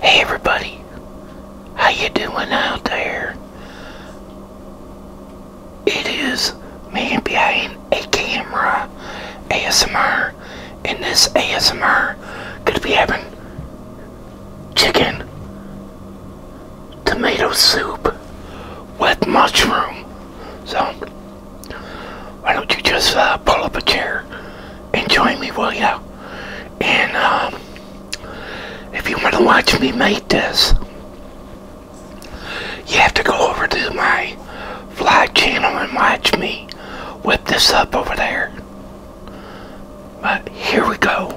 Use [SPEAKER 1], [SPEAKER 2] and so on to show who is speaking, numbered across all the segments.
[SPEAKER 1] Hey everybody, how you doing out there? It is me behind a camera ASMR, and this ASMR gonna be having chicken tomato soup with mushroom. So why don't you just uh, pull up a chair and join me, will you? And um, if you want to watch me make this, you have to go over to my fly channel and watch me whip this up over there. But here we go.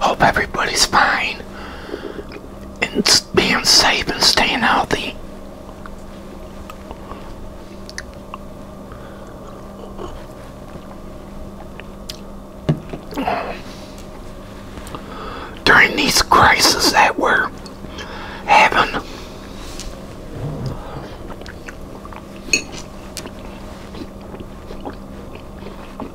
[SPEAKER 1] Hope everybody's fine and being safe and staying healthy. During these crises that we're having,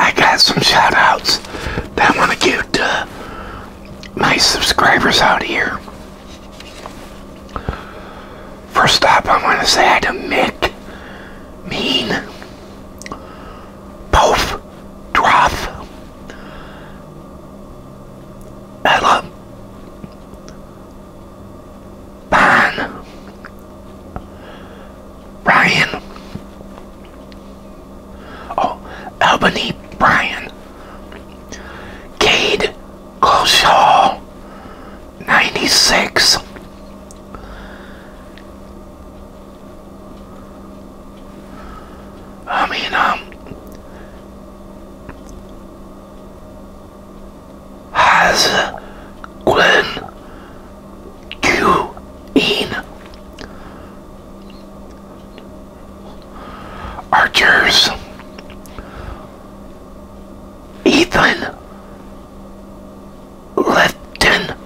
[SPEAKER 1] I got some shoutouts that I want to give to my subscribers out here. First up, I want to say hi to Mick Mean. Both Droth Ella Ban Ryan Oh Albany Bryan Cade Closhaw 96 I mean, um, has Gwen you, in Archers Ethan Lifton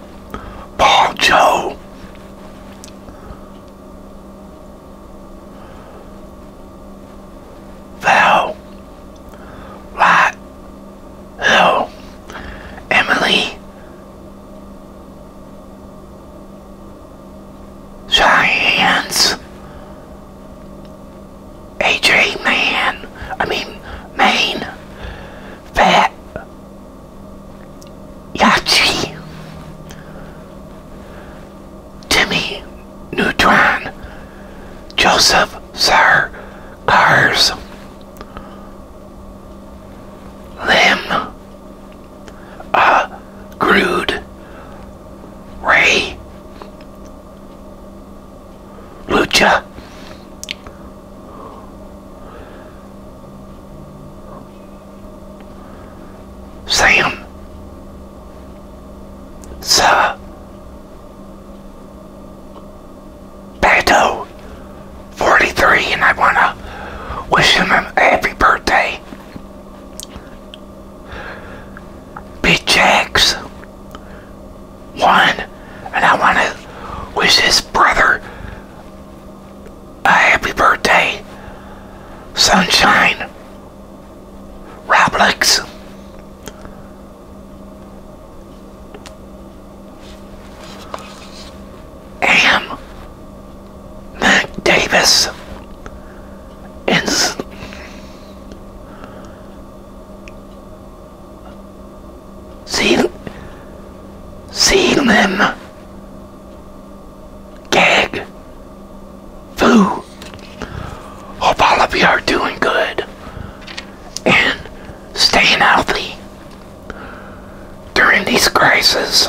[SPEAKER 1] Paul Joe. Val, Lot, Hill, Emily, Cheyenne's, AJ Man, I mean, Maine, Fat, Yachi, Timmy Neutron, Joseph Sar Cars, Lim, uh, Grood, Ray, Lucha, Sam. Sir. Pato. 43 and I want to wish him a happy birthday. Big Jax. One. And I want to wish his brother a happy birthday, Sunshine Roblox. Am Mac Davis and Seeing, seeing them gag food. Hope all of you are doing good and staying healthy during these crises.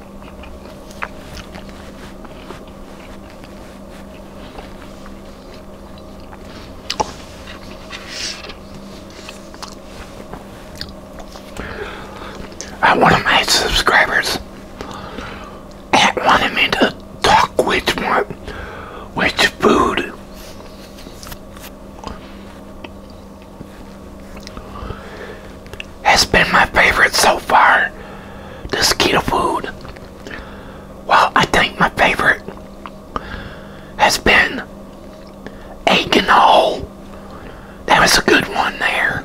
[SPEAKER 1] Uh, one of my subscribers had wanted me to talk which which food has been my favorite so far. This keto food. Well, I think my favorite has been egg and That was a good one there.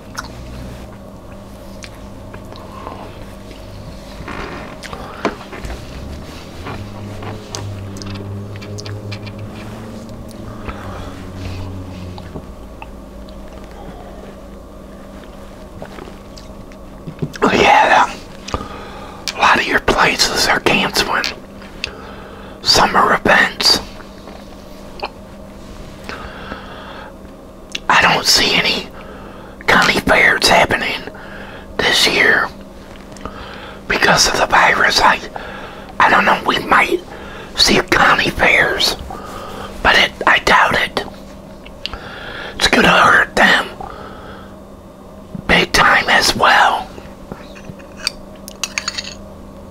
[SPEAKER 1] Oh, yeah, a lot of your places are canceling summer events. I don't see any county fairs happening this year because of the virus. I, I don't know, we might see county fairs, but it, I doubt it. It's going to hurt them big time as well.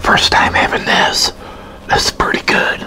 [SPEAKER 1] First time having this. This is pretty good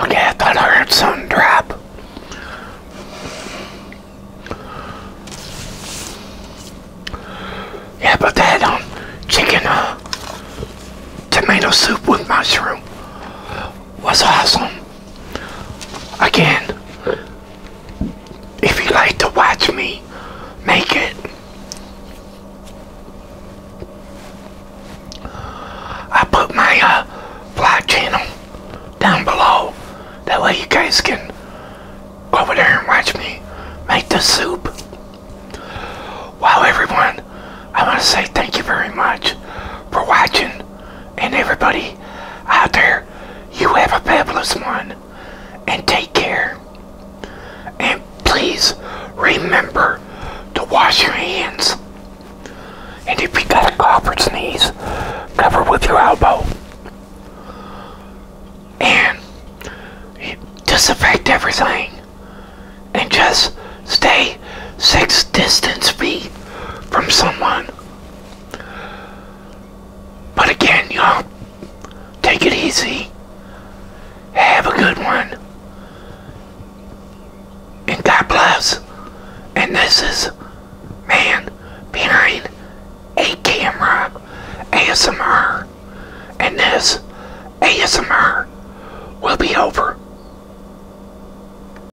[SPEAKER 1] Okay, I thought I heard something drop. Yeah, but that um, chicken uh, tomato soup with mushroom was awesome. Again, if you like to watch me make it, I put my uh, vlog channel down below. That way you guys can go over there and watch me make the soup. Wow, everyone, I want to say thank you very much for watching. And everybody out there, you have a fabulous one. And take care. And please remember to wash your hands. And if you got a cough or sneeze, cover with your elbow. And disinfect everything. And just stay six distance feet from someone. But again, y'all, take it easy. Have a good one. And God bless. And this is Man Behind a Camera ASMR. And this ASMR will be over.